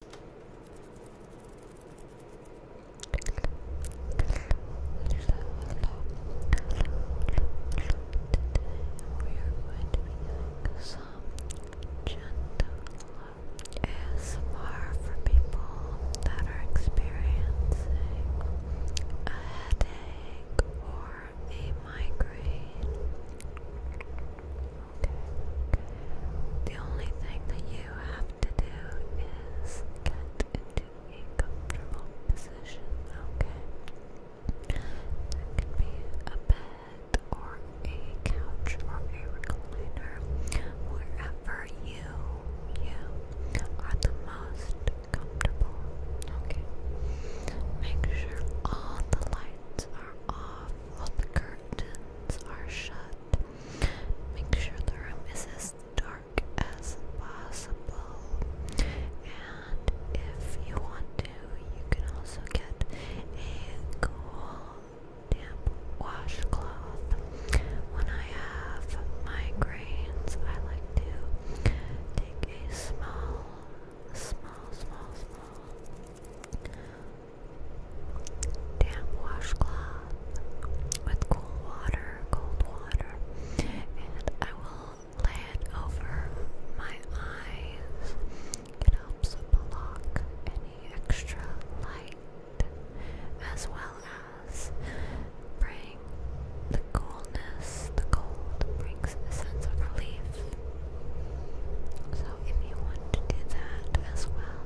doing some gentle ASMR for people that are experiencing a headache or a migraine. The only thing that you have to do is get into a comfortable position, okay? That can be a bed or a couch or a recliner, wherever you you are the most comfortable. Okay. Make sure all the lights are off, all the curtains are shut. Make sure the room is as dark as possible. And if you want to, you can also get a cool damp washcloth. When I have migraines, I like to take a small, small, small, small damp washcloth with cool water, cold water, and I will lay it over my eyes. It helps block any extra light as well as bring the coolness, the cold brings a sense of relief if you want to do that as well,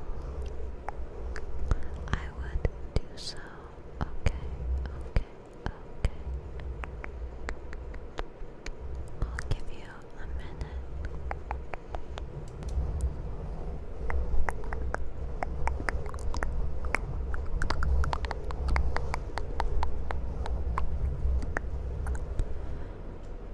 I would do so. Okay, okay, okay. I'll give you a minute.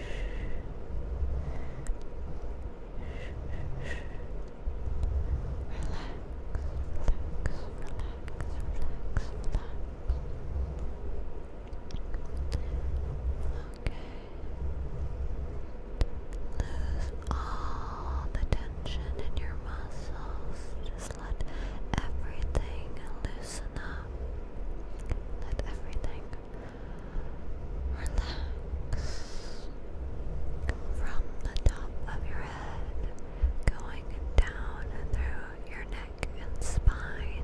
Lose all the tension in your muscles. Just let everything loosen up. Let everything Relax from the top of your head, going down through your neck and spine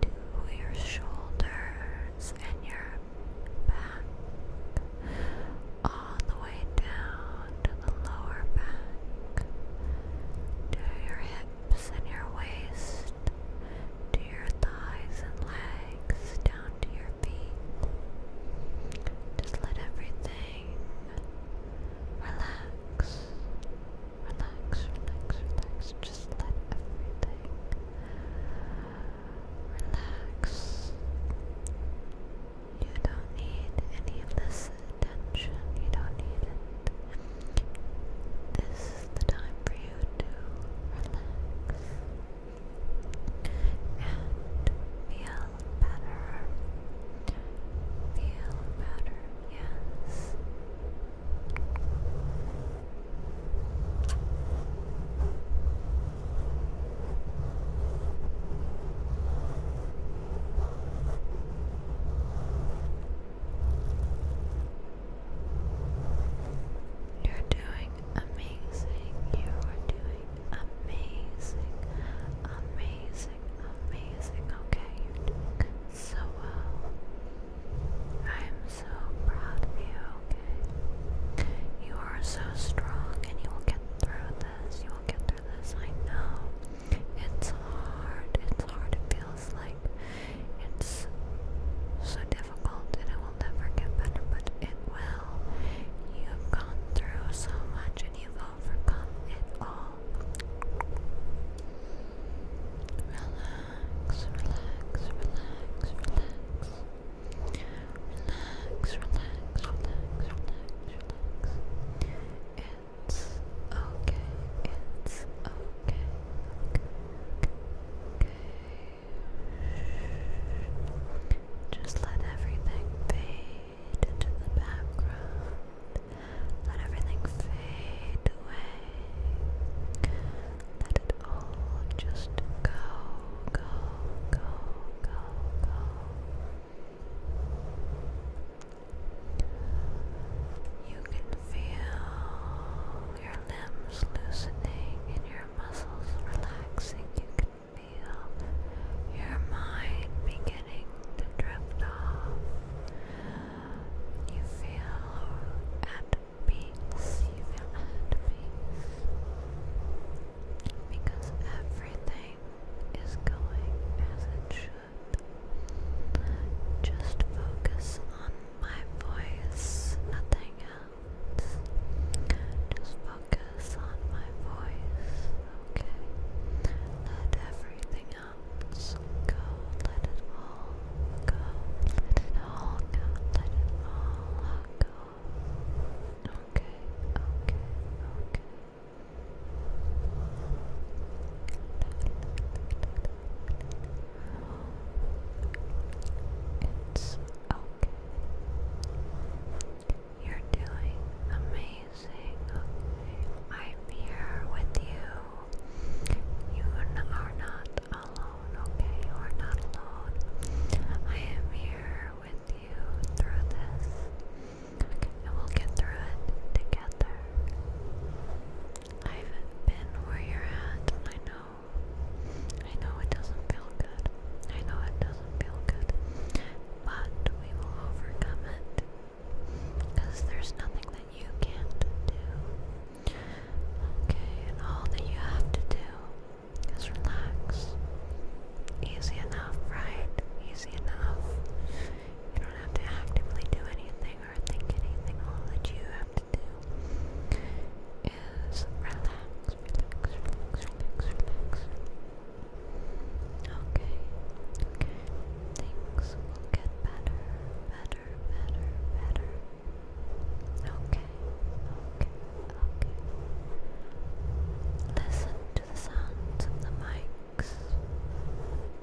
to your shoulders and your back, all the way down to the lower back, to your hips and your waist, to your thighs and legs down to your feet. Just let everything relax. Relax, relax, relax. Just let everything relax. You don't need any of this tension. You don't need it. This is the time for you to relax and feel better. Feel better, yes. You're doing amazing. You are doing amazing. Amazing. Amazing. Okay, you're doing so well. I'm so proud of you, okay? You are so strong and you will get through this. You will get through this. I know. It's hard. It's hard. It feels feels like it's so difficult and it will never get better, but it will. You've gone through so much and you've overcome it all. Relax, relax, relax, relax. Relax, relax, relax, relax, relax. It's okay, it's okay, okay, just let everything fade into the background. Let everything fade away. Let it all just go, go, go, go, go. You can feel your limbs loosening and your muscles relaxing. You can feel your mind beginning to drift off. You feel at peace. You feel at peace because everything is going as it should. Just focus on my voice, nothing else. Just focus on my voice, okay? Let everything else go, let it all go, let it all go, let it all go. Okay, okay, okay. It's okay. You're doing amazing. I'm here with you. You are not alone, okay? You are not alone. I am here with you through this. And we'll get through it together. I've been where you're at, and I know. I know it doesn't feel good. I know it doesn't feel good. But we will overcome it. Because there's nothing that you can't do. Okay, and all that you have to do is relax. Easy enough, right? Easy enough. You don't have to actively do anything or think anything. All that you have to do is relax, Okay, Things get better, better, better, better. okay, okay. Listen to the sounds of the mics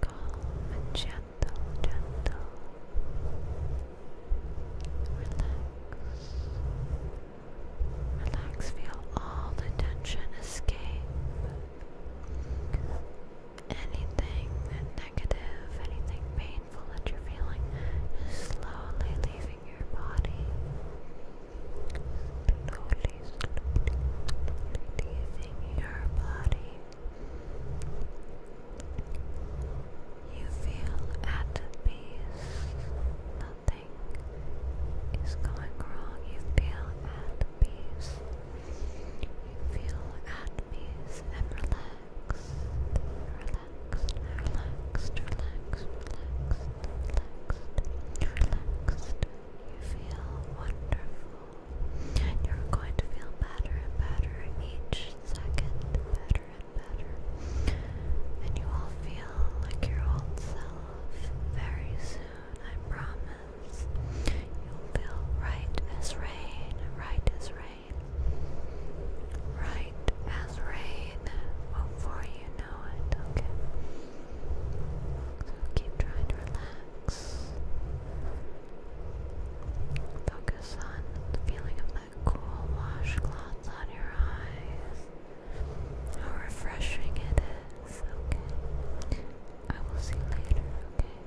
Calm gentle, gentle. Relax. Relax, feel all the tension escape. Anything negative, anything painful that you're feeling is slowly leaving your body. Slowly slowly, your body. You feel at peace. Nothing is going wrong. You feel at peace. You feel at peace and relaxed. Relaxed, relaxed, relaxed, relaxed, relaxed. You feel wonderful. You're going to feel better and better each second, better and better. And you will feel like your old self very soon, I promise. You'll feel right as rain, right as rain, right as rain before you know it, okay? keep trying to relax. Focus on the feeling of that cool washcloth on your eyes. How refreshing it is. I will see you later, okay?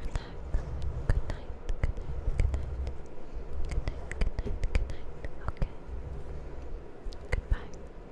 Relax. Good night. Good night. Good night. Good night. Good night. Good night. Okay. Goodbye.